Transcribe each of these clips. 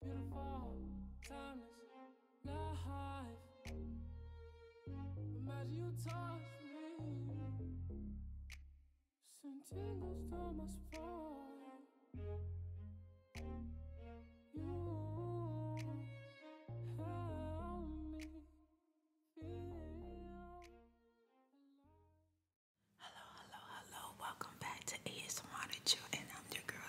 Beautiful, timeless, life. Imagine you touch You help me Hello, hello, hello. Welcome back to ASMR Chill, and I'm your girl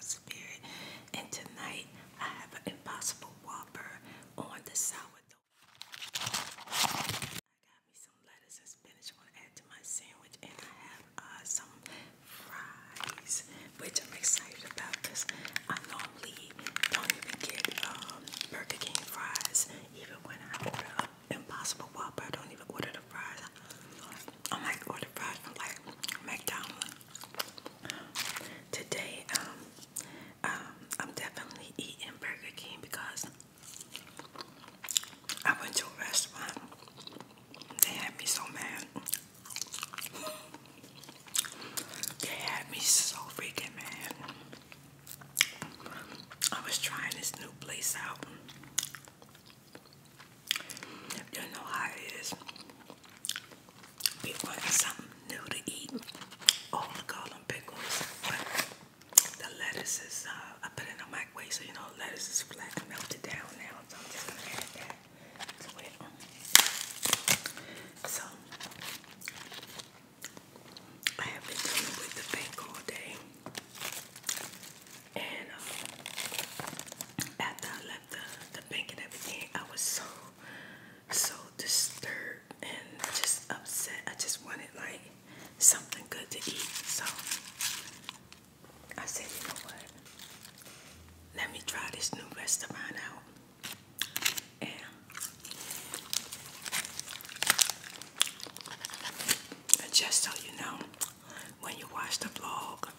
and tonight I have an Impossible Whopper on the sourdough. I got me some lettuce and spinach I want to add to my sandwich. And I have uh, some fries, which I'm excited about because I normally don't even get um, Burger King fries. Even when I order an Impossible Whopper, I don't even order the fries. I might order fries from like McDonald's Today, um, um, I'm definitely eating Burger King because I went to a restaurant. They had me so mad. They had me so freaking mad. I was trying this new place out. You know how it is. We want something new to eat. Oh, I call them pickles. the lettuce is, uh, I put it in the microwave, so you know, lettuce is flat melted down now. So I'm just going to add that So, I have been dealing with the bank all day. And um, after I the, the and everything, I was so so disturbed and just upset. I just wanted like something good to eat. So I said, you know what? Let me try this new restaurant out. And just so you know, when you watch the vlog,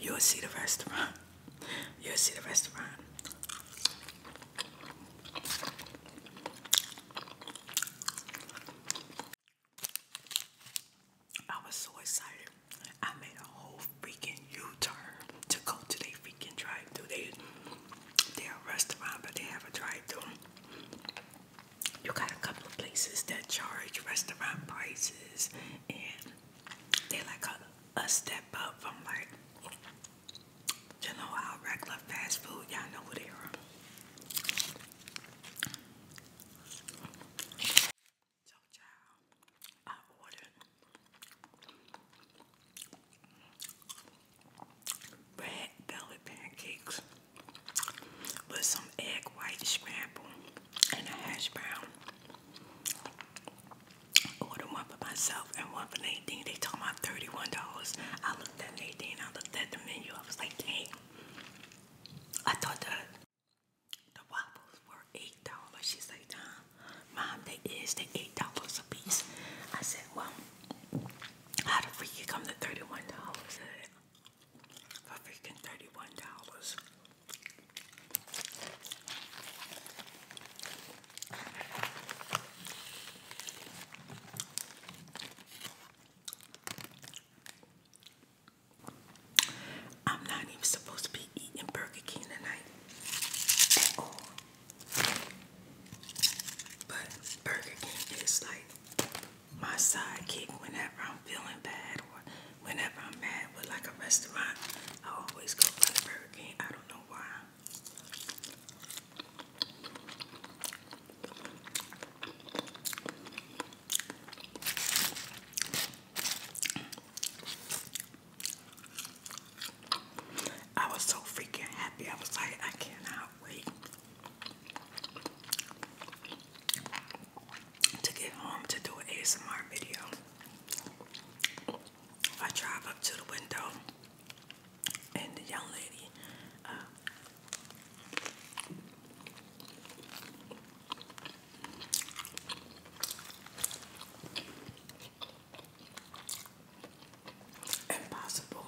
You'll see the restaurant. You'll see the restaurant. I was so excited. I made a whole freaking U-turn to go to their freaking drive-thru. They, they're a restaurant, but they have a drive-thru you got a couple of places that charge restaurant prices and they like a, a step up from like you know our regular fast food y'all know who they are so child I ordered red belly pancakes with some egg white scramble and a hash brown. ordered one for myself and one for Nadine. They told me $31. I looked at Nadine, I looked at the menu, I was like, "Hey, I thought the, the waffles were $8. She's like, nah, mom, they is, they $8 a piece. I said, well, how the freak you come to $31? for freaking $31. I'm not even supposed to be eating Burger King tonight at all. But Burger King is like my sidekick whenever I'm feeling bad or whenever I'm mad but like a restaurant. I always go for the Burger King. I don't know why. I was so freaking happy. I was like, I cannot wait to get home to do an ASMR video. I drive up to the window and the young lady uh, Impossible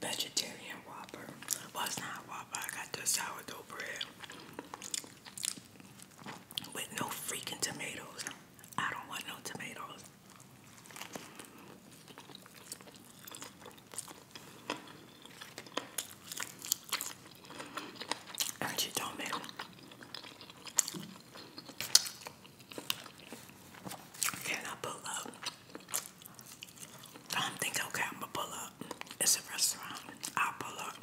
vegetarian whopper. Well, it's not whopper. I got the sourdough bread with no freaking tomatoes. I don't want no tomatoes. And she told me can pull up I'm thinking, okay, I'm gonna pull up. It's a restaurant. I'll pull up.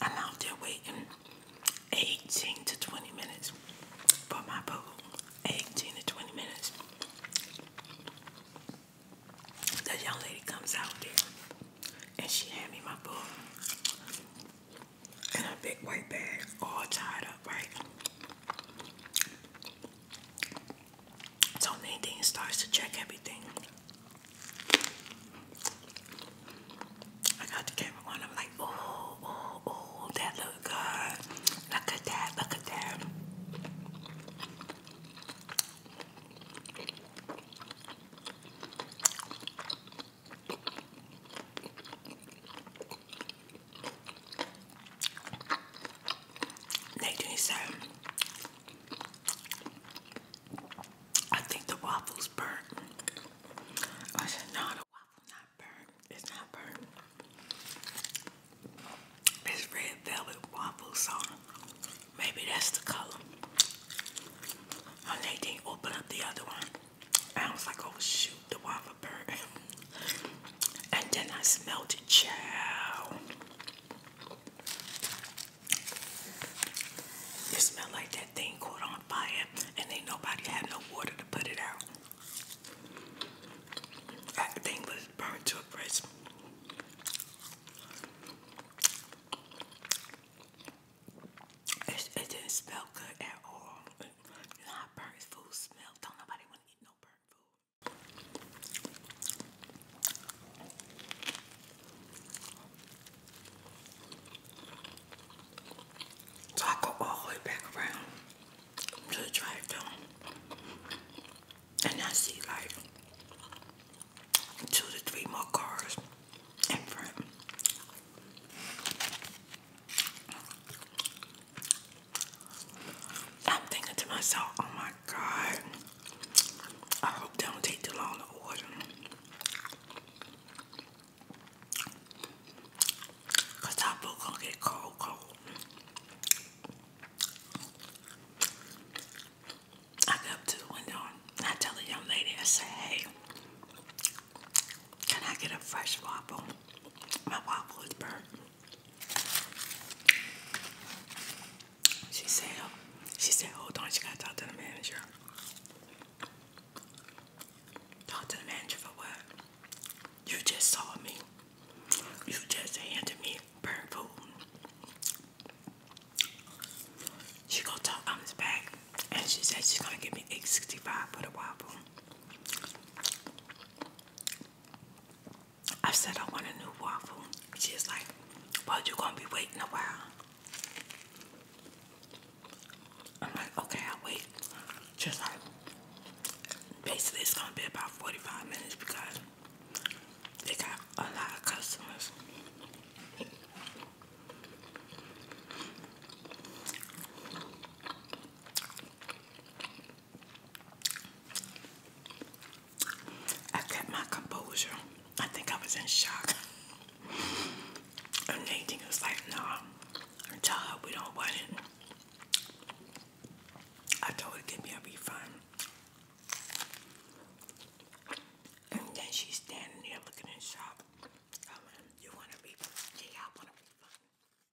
I'm out there waiting 18 to 20 minutes for my food. 18 to 20 minutes. The young lady comes out there and she hand me my food in a big white bag, all tied up, right? So Nadine starts to check everything. I got the camera on. I'm like, oh, oh, oh, that look good. Look at that. Look at that. 1927. I think the waffle's burnt. I said, no, the waffle not burnt. It's not burnt. It's red velvet waffle, so maybe that's the color. And they didn't open up the other one. I was like, oh shoot the one for and then I smelled it, child. It smelled like that thing caught on fire and ain't nobody had no water to put it out. That thing was burned to a crisp. It, didn't smell good at all. You burnt food smells? Don't nobody want to eat no burnt harmful. So I go all the way back around to the drive thru and I see like two to three more cars in front. I'm thinking to myself, oh my god, I hope don't take too long to order. Cause our gonna get cold, cold. I go to the window I tell the young lady, I say, hey, can I get a fresh waffle? My waffle is burnt. She said, she said, hold on, she gotta talk to the manager. Talk to the manager for what? You just saw me. You just handed me burnt food. She gonna talk on his back and she said she's gonna give me 865 for the waffle. I said I want a new waffle. She's like, well, you're gonna be waiting a while. I'm like, okay, I'll wait. Just like, basically it's gonna be about 45 minutes because they got a lot of customers. I kept my composure. I think I was in shock. And Nadine was like, no, nah, tell her we don't want it. I told her to give me a refund. And then she's standing there looking in shock. Um, you want a refund? Yeah, I want a refund.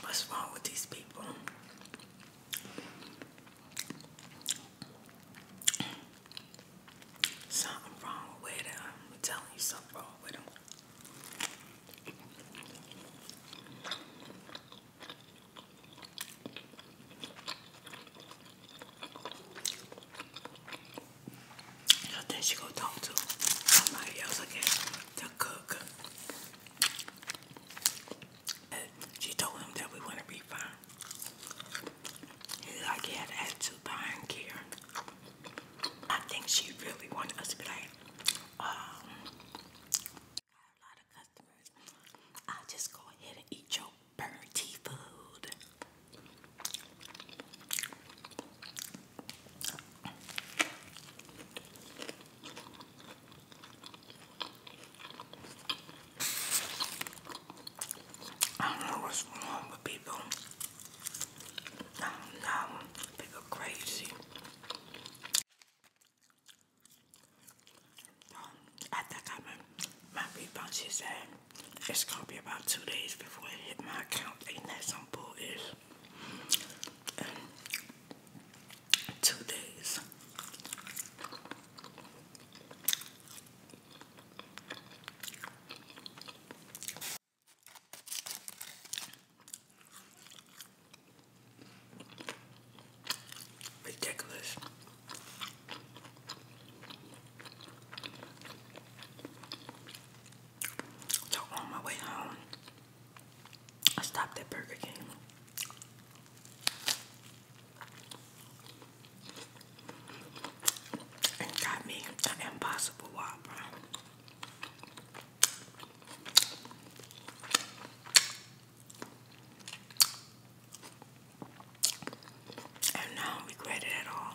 What's wrong with these people? Something wrong with them. I'm telling you something wrong with them. I think she going talk to somebody else again cook. She told him that we want to be fine. He like he had an attitude behind care. I think she really wanted us to be like, um, i just go ahead and eat your burnt food. I don't know what's wrong with people. I don't crazy. Um, I think my refund. She said it's gonna be about two days before I hit my account. Ain't that some bull is? two days. Ridiculous. So on my way home, I stopped at Burger King. And got me an impossible whopper. And now regret it at all.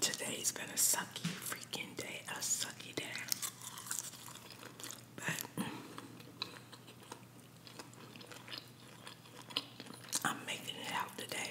Today's been a sucky freaking day, a sucky day. But mm, I'm making it out today.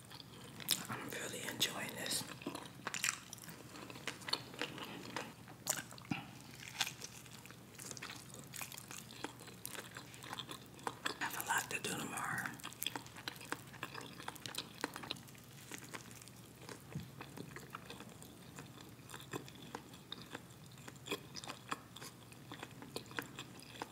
I'm really enjoying this. have a lot to do tomorrow.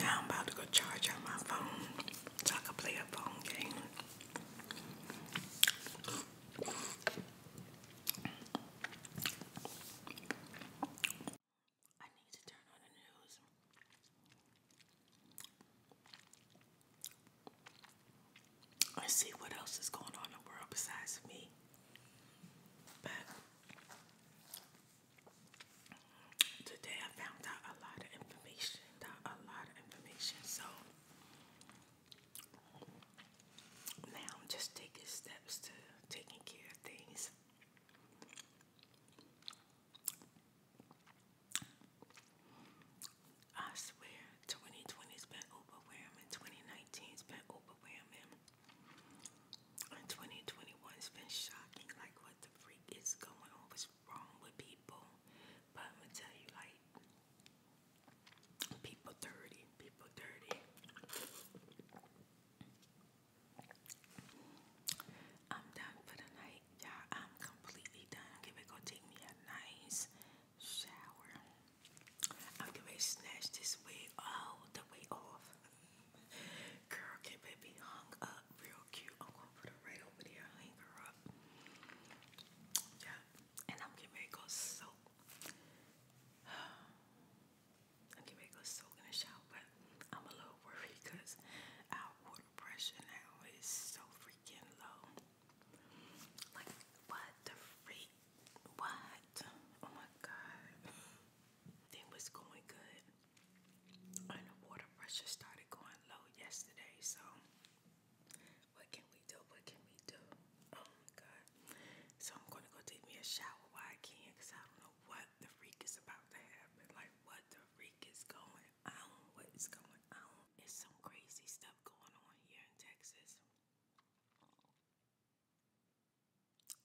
Now I'm about to go charge up my phone so I can play a phone game. I need to turn on the news. let see what else is going on in the world besides me. But today I found out a lot of information. A lot of information. So now I'm just taking steps to taking care of things. I swear 2020's been overwhelming, 2019's been overwhelming, and 2021's been shocking like the freak is going on, what's wrong with people. But I'm gonna tell you, like, people dirty, people dirty. I'm done for the night, y'all. I'm completely done. I'm gonna go take me a nice shower. I'm gonna snatch this wig all the way off. Girl, get baby hung up real cute. I'm gonna put her right over there, hang her up. Yeah, and I'm getting ready to go soak. I'm getting ready to go soak in the shower, but I'm a little worried because our water pressure now is so freaking low. Like, what the freak? What? Oh my god. Thing was going good. And the water pressure started going low yesterday, so what can we do? What can we do? Oh my god. So I'm gonna go take me a shower while I can because I don't know what the freak is about to happen. Like what the freak is going on, what is going on. It's some crazy stuff going on here in Texas.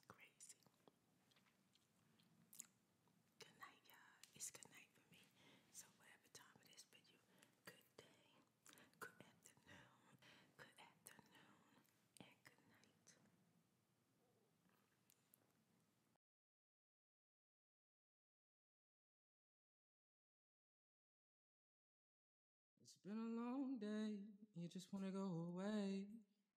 Crazy. Good night, y'all. It's good night for me. So whatever time it is for you, good day, good afternoon, good afternoon, and good night. It's been a long day. You just want to go away.